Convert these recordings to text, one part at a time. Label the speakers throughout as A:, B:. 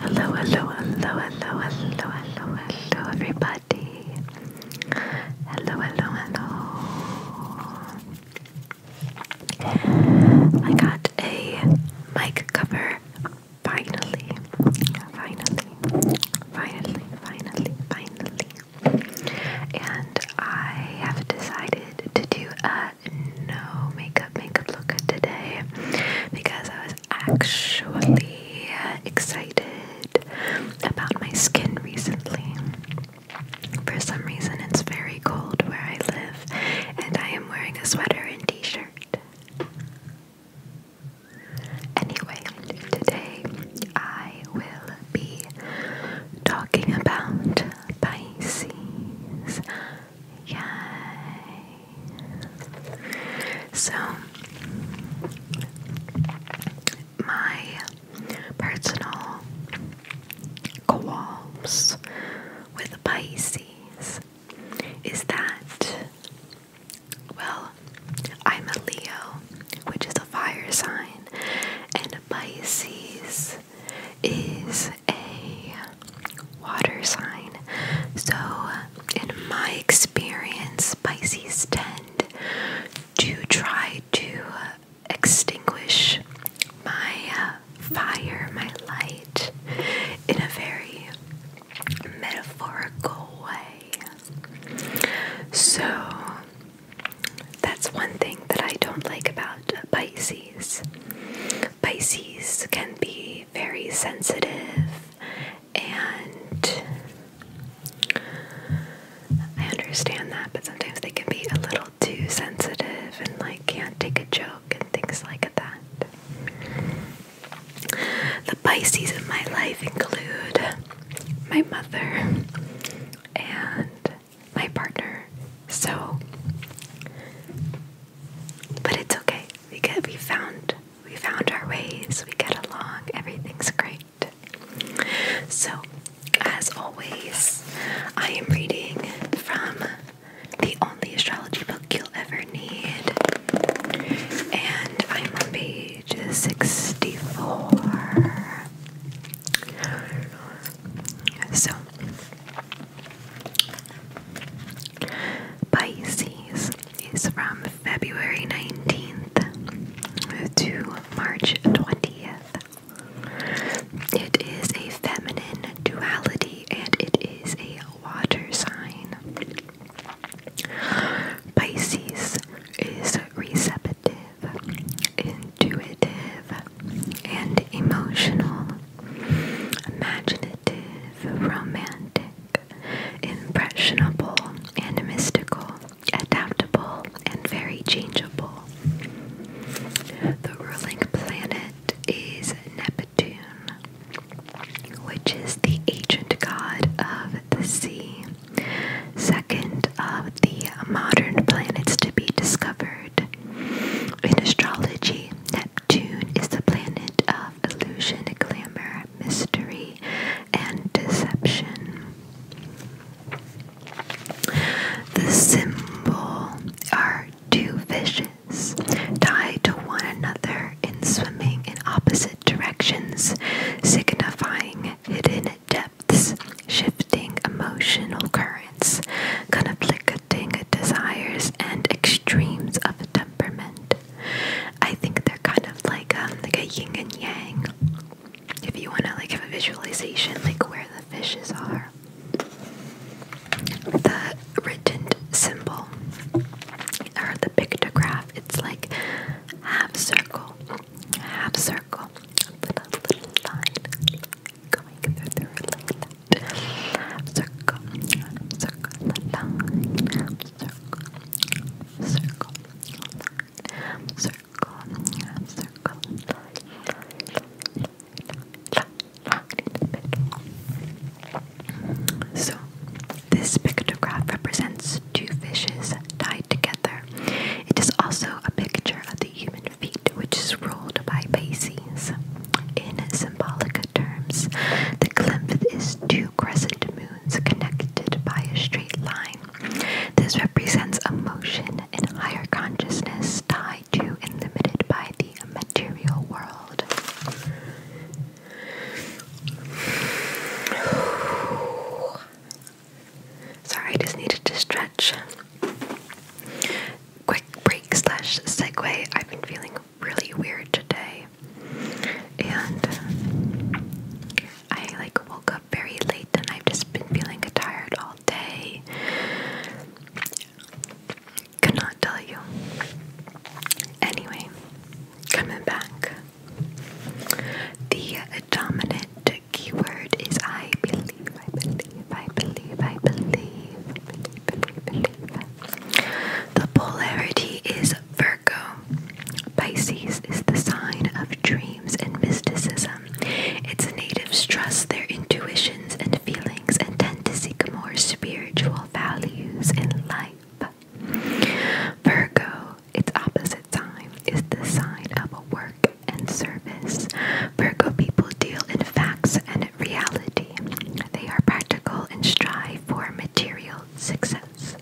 A: Hello, hello, hello, hello, hello, hello, hello, everybody. Hello, hello, hello. I got a mic cover finally. Finally. Finally, finally, finally. And I have decided to do a no makeup makeup look today because I was actually excited about my skin recently. For some reason, it's very cold where I live, and I am wearing a sweater and t shirt. Anyway, today I will be talking about Pisces. Yay! So, my personal qualms with Pisces is that, well, I'm a Leo, which is a fire sign, and Pisces is a water sign. So, in my experience, Pisces tend to try to extinguish my uh, fire, my light, in a very metaphorical way. So, that's one thing that I don't like about Pisces. Pisces can be very sensitive, and I understand that, but sometimes they can be a little too sensitive and like can't take a joke and things like that. The Pisces in my life include my mother and my partner. So, but it's okay. We get we found we found our ways. We get along. Everything's great. So, as always, I am reading from the only astrology book you'll ever need, and I'm on page sixty-four. So, Pisces is from February 19th to March 20th. It is a feminine duality and it is a water sign. Pisces is receptive, intuitive, and emotional imaginative, romantic, impressionable, and adaptable, and very changeable. The ruling planet is Neptune, which is the ancient god of the sea, second of the modern planets to be discovered, in astrology, Neptune is the planet of illusion, glamour, mystery, and deception. The symbol are two fishes tied to one another in swimming in opposite directions, signifying hidden depths, emotional currents, conflicting desires, and extremes of temperament. I think they're kind of like um, like a yin and yang. If you want to like have a visualization, like where the fishes are, the rigid symbol or the pictograph, it's like half circle, half circle, little, little line, so, this pictograph represents two fishes tied together. It is also a picture of the human which is ruled by Pisces. In symbolic terms, the glymph is two crescent moons connected by a straight line. This represents a motion in higher consciousness tied to and limited by the material world. Sorry, I just needed to stretch quick break slash segue. I've been feeling really weird today, and um, I like woke up very late, and I've just been feeling tired all day. Could tell you. Anyway, coming back. The dominant keyword is I believe, I believe, believe, I believe, I believe, believe, believe. The polarity is Virgo. Pisces is the sign of dreams and mysticism. Its natives trust their intuitions and feelings and tend to seek more spiritual values in life. Virgo, its opposite sign, is the sign of work and service. Virgo people deal in facts and reality. They are practical and strive for material success.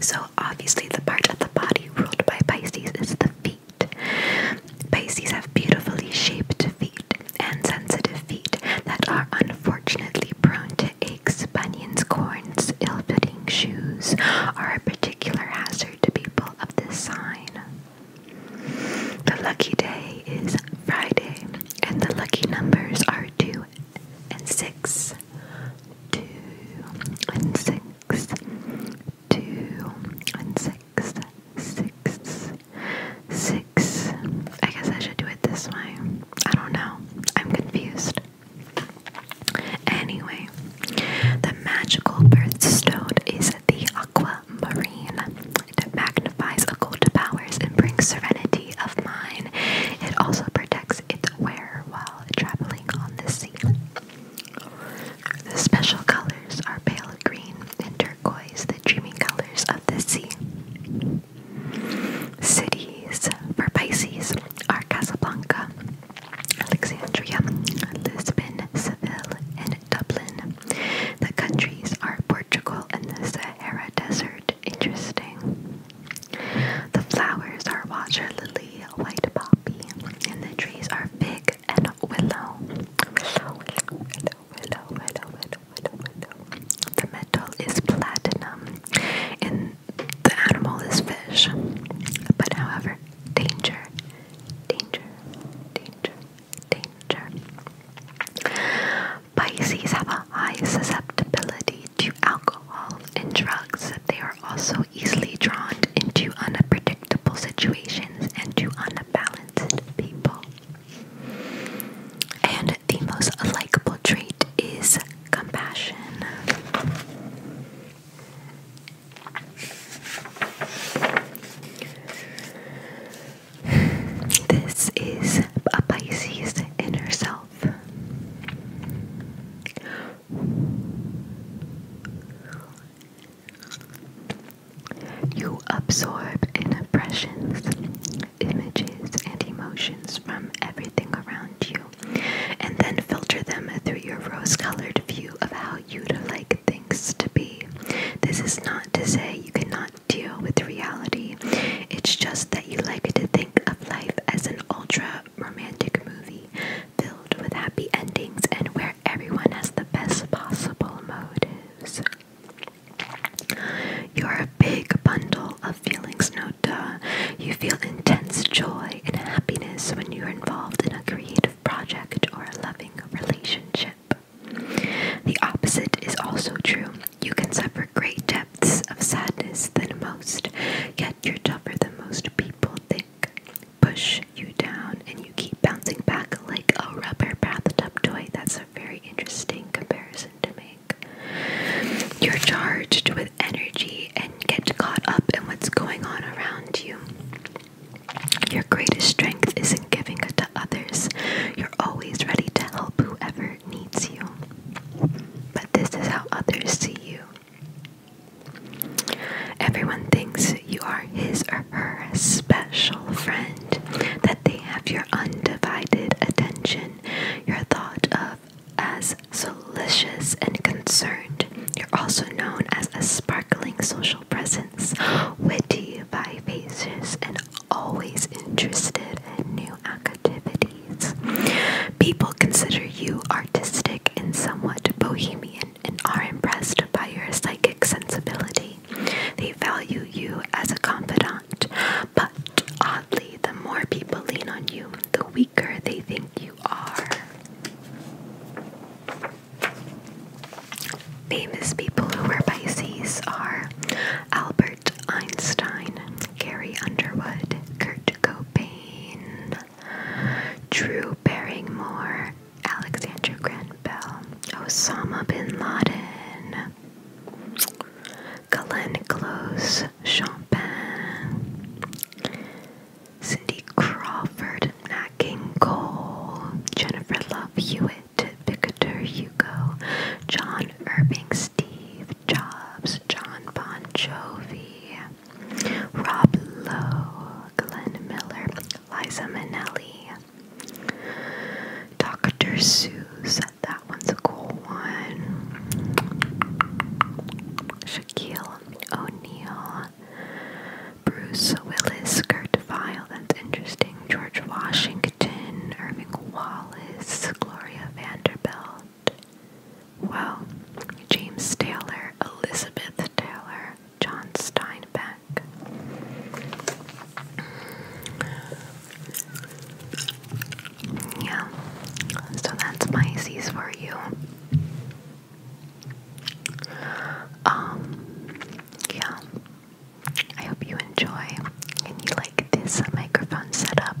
A: So, obviously, the part of the body ruled by Pisces is the feet. Pisces have beautifully shaped feet and sensitive feet that are unfortunately prone to aches, bunions, corns, ill fitting shoes, are a particular hazard closer to people of this sign. The lucky day is Friday, and the lucky numbers are 2 and 6. 2 and 6. 2 and 6. 6. 6. I guess I should do it this way. I don't know. I'm confused. Anyway, the magical birthstone is the aquamarine. It magnifies occult powers and brings serenity of mind. It also protects its wearer while traveling on the sea. The special colors are pale green and turquoise, the dreamy colors of the sea. Cities for Pisces are Casablanca, Alexandria, Lisbon, Seville, and Dublin. The countries are Portugal and the Sahara Desert. Interesting. The flowers are water lily, white poppy, and the trees are fig and willow. Willow, willow, willow, willow, willow, willow, willow. The metal is platinum, and the animal is fish. But however, danger, danger, danger, danger. Pisces have a high susceptibility to alcohol and drugs. They are also easily drawn into unpredictable situations and to unbalanced people. And the most likable trait is compassion. This is a Pisces inner self. You absorb impressions, images, and emotions from everything around you and then filter them through your rose colored view of how you'd like things to be. This is not to say you cannot deal with reality, it's just that you like to think of life as an ultra romantic movie filled with happy endings and where everyone has the best possible motives. You're a big bundle of feelings, no duh. You feel intense joy and happiness when you're involved in a creative project or a loving relationship. The opposite is also true. You can suffer great depths of sadness than most, yet you're tougher than most people think. Push you down and you keep bouncing back like a rubber bathed toy. That's a very interesting comparison to make. You're charged with energy and get caught up in what's going on around you. Your greatest strength isn't giving it to others. You're always ready to help whoever needs you. But this is how others see you. Everyone thinks you are his or her special friend, that they have your undivided attention. Your thought of as solicitous and concerned. You're also known as a sparkling social presence, witty, vivacious, and always interested in new activities. People consider you artistic and somewhat bohemian and are impressed by your psychic sensibility. They value you as a confidant, but oddly, the more people lean on you, the weaker they think you are. Famous people who were Pisces are Albert Einstein, Gary Underwood, Kurt Cobain, Drew Barrymore, Alexandra Grant Bell, Osama bin Laden, Colin Close, Champagne, Cindy Crawford, Nat Cole, Jennifer Love Hewitt, Picator Hugo, John Irving, Steve Jobs, John Bon Jovi, Rob Lowe, Glenn Miller, Liza Minnelli, Dr. Seuss, that one's a cool one, Shaquille O'Neill, Bruce Willis, Kurt Vile, that's interesting, George Washington, Irving Wallace, Gloria Vanderbilt, wow, James Taylor, Elizabeth Taylor, John Steinbeck. Yeah, so that's my Pisces for you. Um, yeah, I hope you enjoy and you like this microphone setup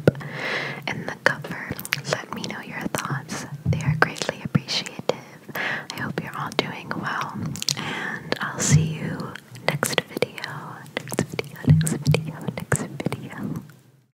A: and the cover. Let me know your thoughts, they are greatly appreciative. I hope you're all doing well, and I'll see you next video, next video, next video, next video.